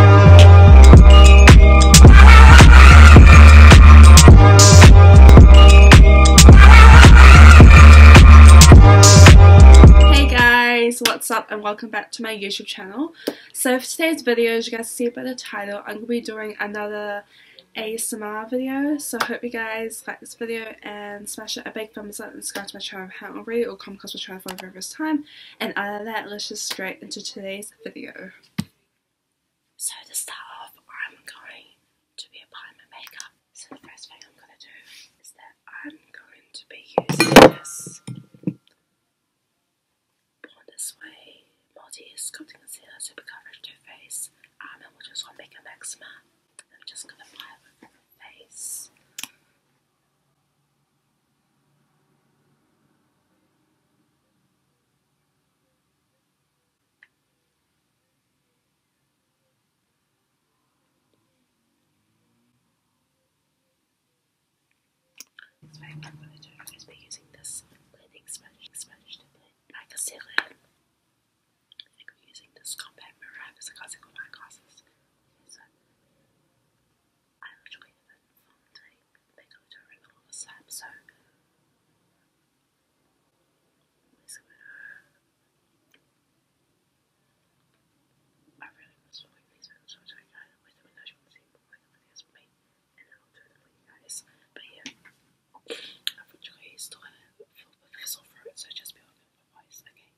Hey guys, what's up and welcome back to my youtube channel so for today's video as you guys see by the title i'm gonna be doing another asmr video so I hope you guys like this video and smash it a big thumbs up and subscribe to my channel if you haven't already or come across my channel for the first time and other than that, let's just straight into today's video. So to start off, I'm going to be applying my makeup. So the first thing I'm going to do is that I'm going to be using this Born Multi Sculpting Concealer Super Coverage 2 Face. Um, and we'll just want to make an I'm just going to apply it over my face. It's very popular to be using this blending sponge, sponge to blend like a sealant. I think I'm using this compact mirror because I got my glasses. I originally live in Fontaine, they go to a all the time, so I really must avoid these films which I kind of with them and as you can see my videos for me and then I'll do them for you guys. But yeah I've originally started a film with this so just be on it for okay?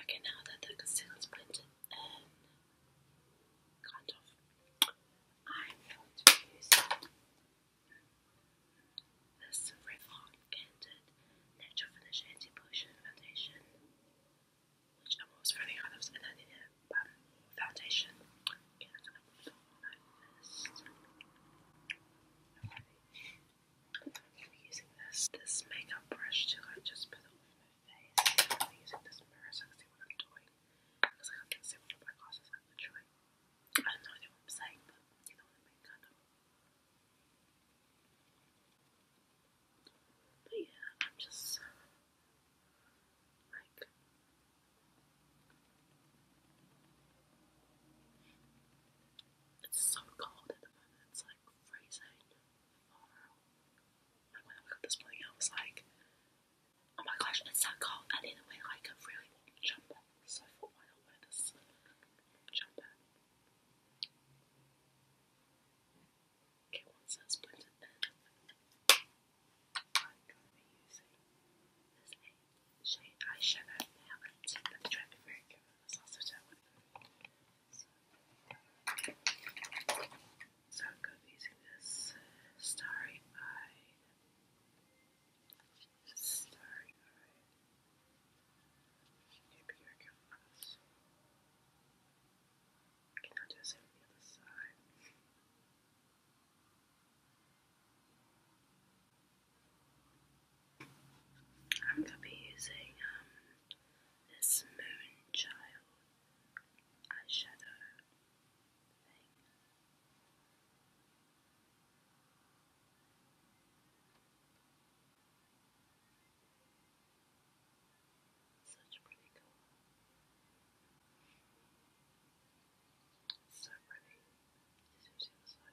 Okay, now that the concealer's blended and kind of, I'm going to use this Revlon Candid Natural Finish Anti-Pollution Foundation, which I'm always running out of, and I am going to put on I'm using this this makeup brush to like just put it on my face. I'm using this mirror so I can see what I'm doing. Because I can't see what my glasses are literally. I don't know what I'm saying, but you know what I mean kind of. But yeah, I'm just uh, like it's so cold at the moment. It's like freezing. Like when I woke this morning, I was like, "Oh my gosh, it's so cold! I need to wear like a really warm jumper." So I thought, why not wear this jumper? Okay, once that's شيء عايشة بعدها but but trying to very careful that's also So I'm going to be using this starry eye. Starry eye. Okay, be Okay, now do the other side. I'm gonna be using um, this Moonchild eyeshadow thing. Such pretty color. So pretty. Just use the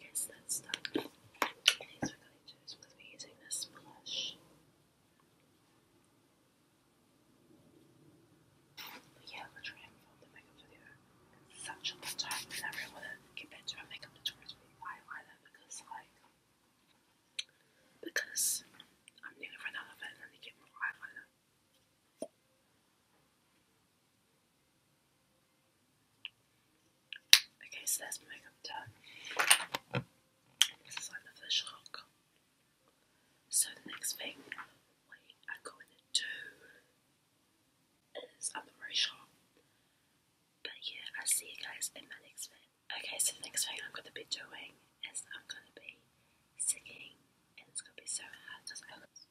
Yes, that's stuck. Next, we're going to be using this blush. yeah, I'm gonna try the makeup video such a long time. I never wanna get better to makeup tutorial with eyeliner because, like, because I'm nearly run out of it and I get more eyeliner. Okay, so that's my makeup done. This is like the first rock. So the next thing we are going to do is i very sure. But yeah, i see you guys in my next video. Okay, so the next thing I'm gonna be doing is I'm gonna be singing and it's gonna be so hard because I listen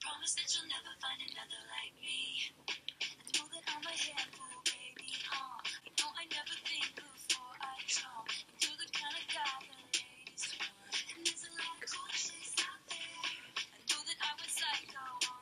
promise that you'll never find another like me. And know that I'm a handful, baby, huh? know I never think before I jump. And the kind of guy the ladies want. And there's a lot of cool chicks out there. I know that I was psycho. Oh,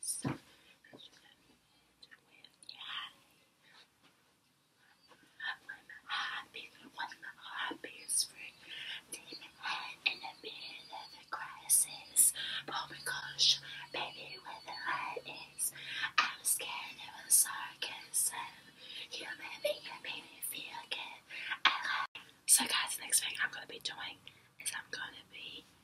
So yeah. I'm happy when the happy is free. Demon head in the middle of the crisis. Oh my gosh, baby, where the light is. I'm scared of a sarcasm. You made me, you made me feel good. So guys, the next thing I'm going to be doing is I'm going to be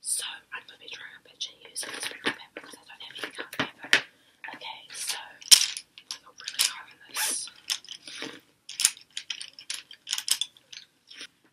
So I'm gonna be drawing a picture using this paper because I don't have any colour paper. Okay, so I got really hard this.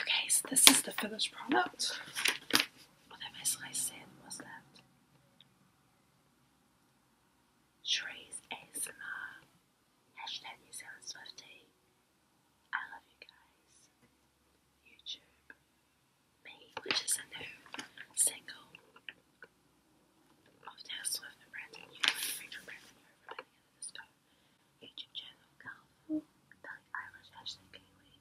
Okay, so this is the finished product. What am I slicing? What's that? Shree's ASMR. Hashtag New Zealand I love you guys. YouTube. which is a new single of Taylor Swift YouTube channel Calvo, Belly hashtag Kiwi,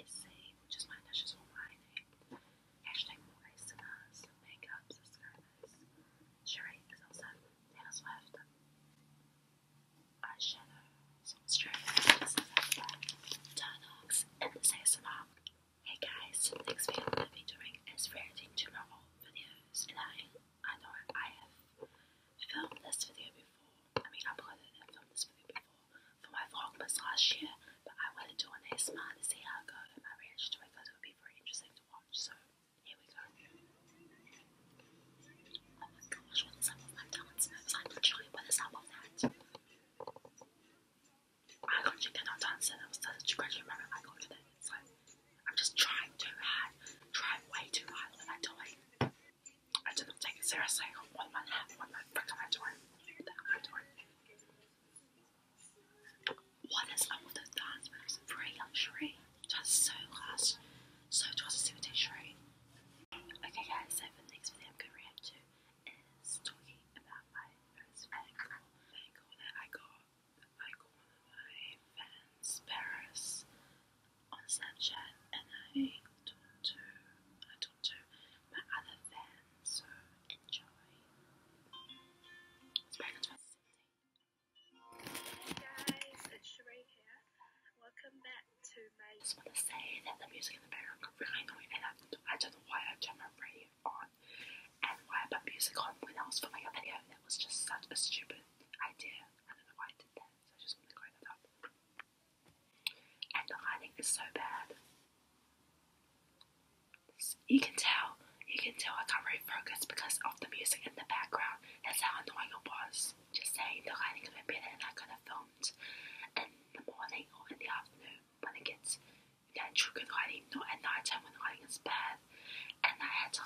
Issei, which is my initials for my name, hashtag Moise and us, makeup, subscribers, Sheree is also Taylor Swift, eyeshadow, some strippers, Turnox, and this ASMR. Hey guys, so the next video I'm going to be doing is reacting to my videos and I know I have filmed this video before. I mean, uploaded and filmed this video before for my vlogmas last year, but I wanted to do an ASMR to see how it goes and to it because it would be very interesting to watch. So here we go. Oh my gosh, what is up with my dance moves? literally, what is up with that? I literally cannot dance and I was such a graduate moment I got to that. I'm just trying too hard, trying way too hard, and I don't. I didn't take it seriously. What more I One more. the frick am I doing? What What is up with the dance moves? Free luxury. Just so last, so just a Sheree. Okay, guys, so the next video I'm going to react to is talking about my first bangle, bangle that I got I go on my fans Paris on Snapchat and I talk to I talk to my other fans so enjoy. It's very interesting. Hey guys, it's Sheree here. Welcome back to my I just wanna say that the music in the background got really annoying I, don't know why I turned my radio on and when I put music on when I was filming a video, It was just such a stupid idea. I don't know why I did that, so I just want to clear that up. And the lighting is so bad. You can tell, you can tell I can't really focus because of the music in the background. That's how annoying it was. Just saying the lighting could have been better and I could have filmed in the morning or in the afternoon when it gets then triggered hiding, not at night time when hiding is bad. And I had to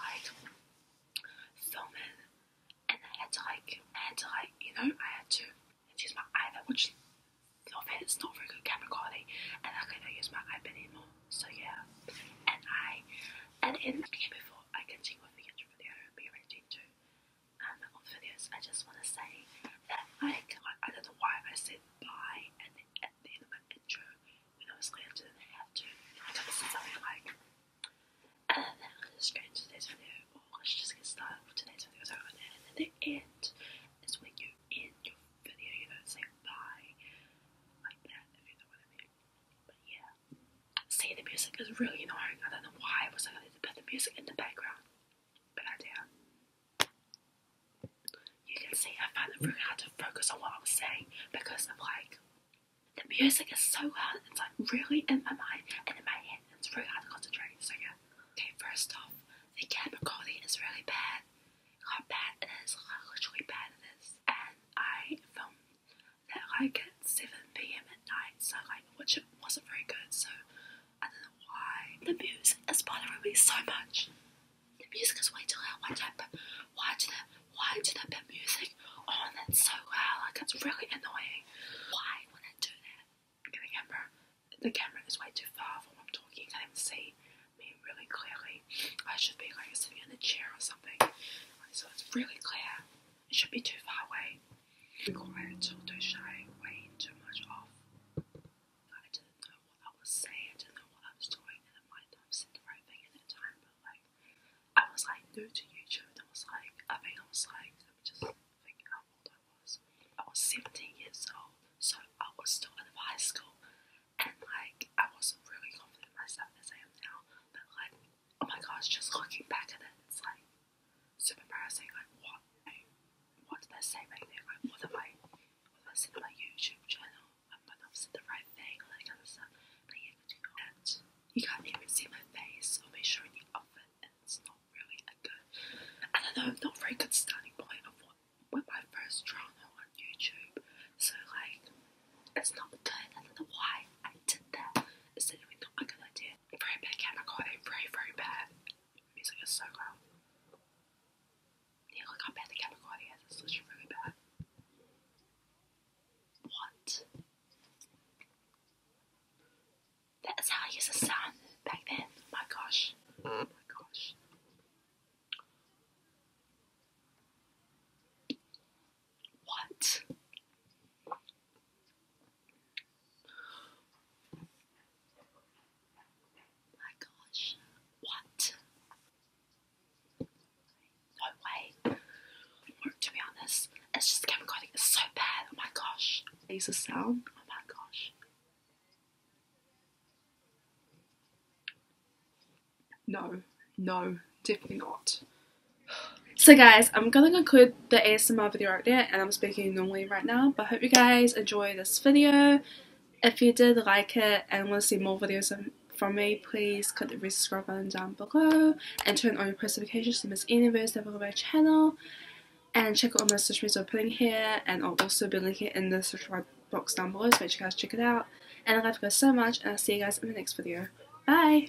film it and I had to like I you know, I had to use my iPad which not fair, it's not very good camera quality and I couldn't use my iPad anymore. So yeah. And I and in before I continue with the intro video be ready to um on videos I just wanna say that I, I don't know why I said bye and, and the end of my intro when I was going to have to, I got to say like, and uh, then I'm going to straight into just get started today's video. So, the end is when you end your video, you don't say bye like that, if you know what I mean. But yeah, see, the music is really annoying. I don't know why I was like, I need to put the music in the background, but I you can see I found it really hard to focus on what I was saying because of like the music is so loud, it's like really in my mind and in my head, it's really hard to concentrate. So, yeah, okay, first off, the camera quality is really bad. How bad it is, like literally bad it is. And I filmed that like at 7 pm at night, so like, which wasn't very good, so I don't know why the music is bothering me so much. The music is way too loud. why do they, why do they put music on it so loud? Like it's really annoying. Why would they do that? The camera, the camera is way too far from what I'm talking. You can't even see me really clearly. I should be like sitting in a chair or something, so it's really clear. It should be too far away. Quiet till they shy way too much off. I didn't know what I was saying, I didn't know what I was doing, and I might have said the right thing at the time, but like, I was like new to YouTube, I was like, I think I was like, let me just think how old I was. I was 17 years old, so I was still out of high school, and like, I wasn't really confident in myself as I am now, but like, oh my gosh, just looking back at it, it's like, super embarrassing, like, what, what did I say back then, what am I Unless in my YouTube channel, I might not say the right thing, like I'm suddenly able to do that. You can't even see my face or make sure you often, and it's not really a good, I don't know, not very good starting point of what with my first drama on YouTube. So like, it's not good. I don't know why I did that. It's definitely not a good idea. Very bad camera quality, very very bad. Music is so loud look how bad the category is. It's literally really bad. What? That is how I used a sun back then. my gosh. Mm. my gosh. What? My gosh, what? No way. to be honest, it's just camera coding so bad. Oh my gosh. These are sound. Oh my gosh. No, no, definitely not. So guys, I'm gonna conclude the ASMR video right there and I'm speaking normally right now, but I hope you guys enjoy this video if you did like it and want to see more videos from me, please click the subscribe button down below and turn on your post notifications to miss any videos that are on my channel. And check out all my social media I'm putting here, and I'll also be linking it in the subscribe box down below, so make you guys check it out. And I love you guys so much, and I'll see you guys in the next video. Bye!